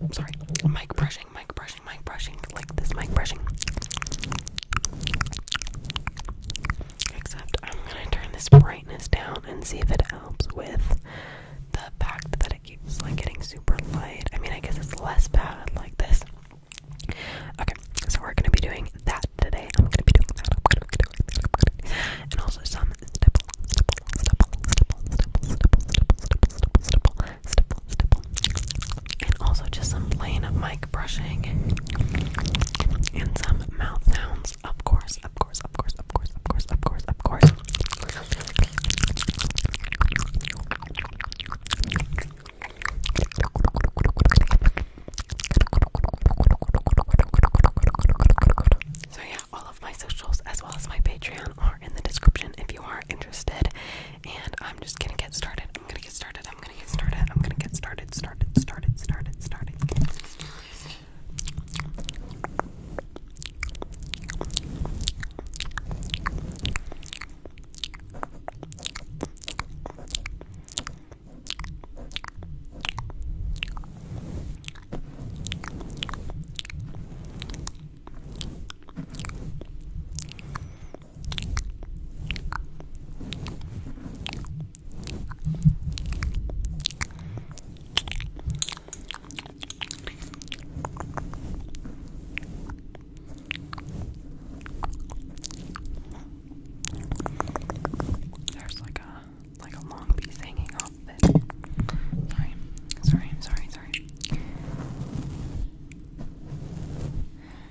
um, sorry, mic brushing, mic brushing, mic brushing, like this mic brushing. Except I'm gonna turn this brightness down and see if it helps with the fact that it keeps like getting super light. I mean, I guess it's less bad like this. Okay, so we're gonna be doing that today. I'm gonna be doing that. i And also some and also just some plain mic brushing and some mouth sounds, of course, of course, of course, of course, of course, of course, of course. So yeah, all of my socials as well as my Patreon are in the description if you are interested. And I'm just gonna get started. I'm gonna get started. I'm gonna get started. I'm gonna get started. Started. Started. Started. Started. There's like a like a long piece hanging off off of it. Sorry, sorry, sorry, sorry.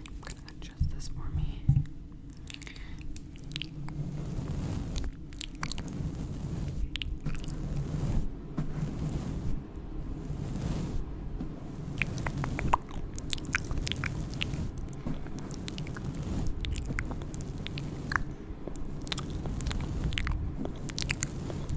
I'm gonna adjust this for me.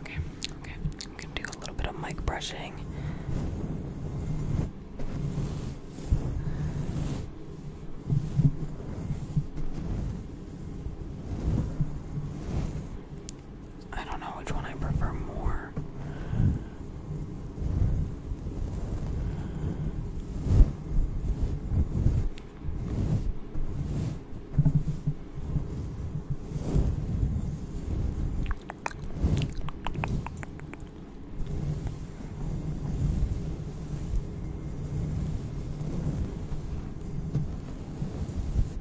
Okay, okay. I'm gonna do a little bit of mic brushing. I don't know which one I prefer more.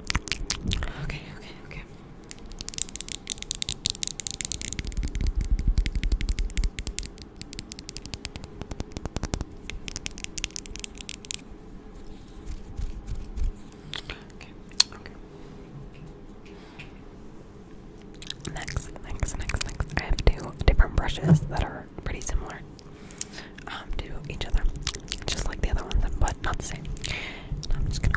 Okay, okay, okay. Okay, okay. Next, next, next, next. I have two different brushes that are pretty similar um, to each other, just like the other ones, but not the same. I'm just gonna.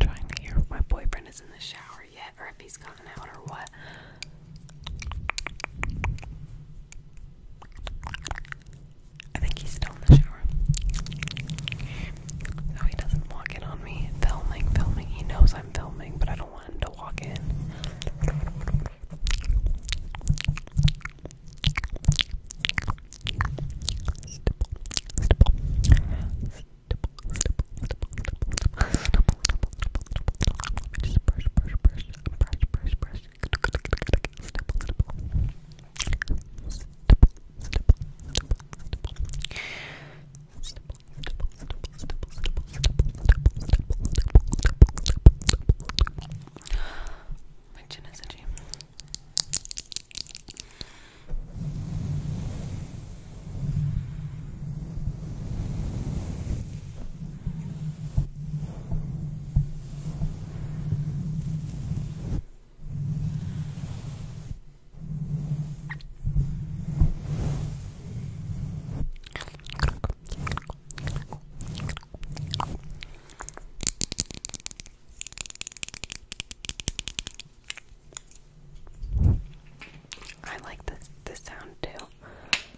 trying to hear if my boyfriend is in the shower yet or if he's gotten out or what. I think he's still in the shower. So he doesn't walk in on me. Filming, filming. He knows I'm filming, but I don't want him to walk in. Just brush, brush, brush, brush, brush, brush. Stipple, stipple. Stipple, stipple, stipple, stipple. Stipple, stipple, stipple, stipple, stipple, stipple, stipple, My chin is itchy. Stipple, I like this this sound too.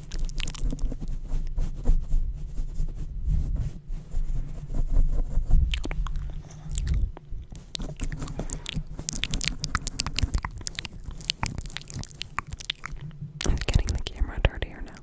It's getting the camera dirtier now.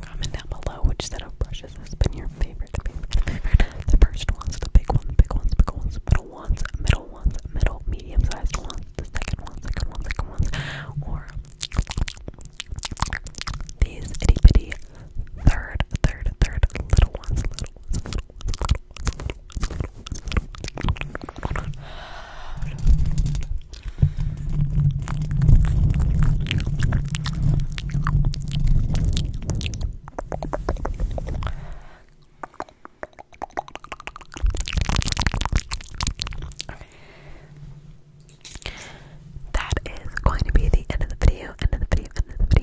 Comment down below which set of brushes has been your favorite, favorite, favorite. The first ones, the big ones, big ones, big ones, middle ones, middle ones, middle, medium-sized ones, the second ones, second ones, second ones, or these itty bitty third, third, third little ones, little that is going to be the end of the video, end of the video, end of the video.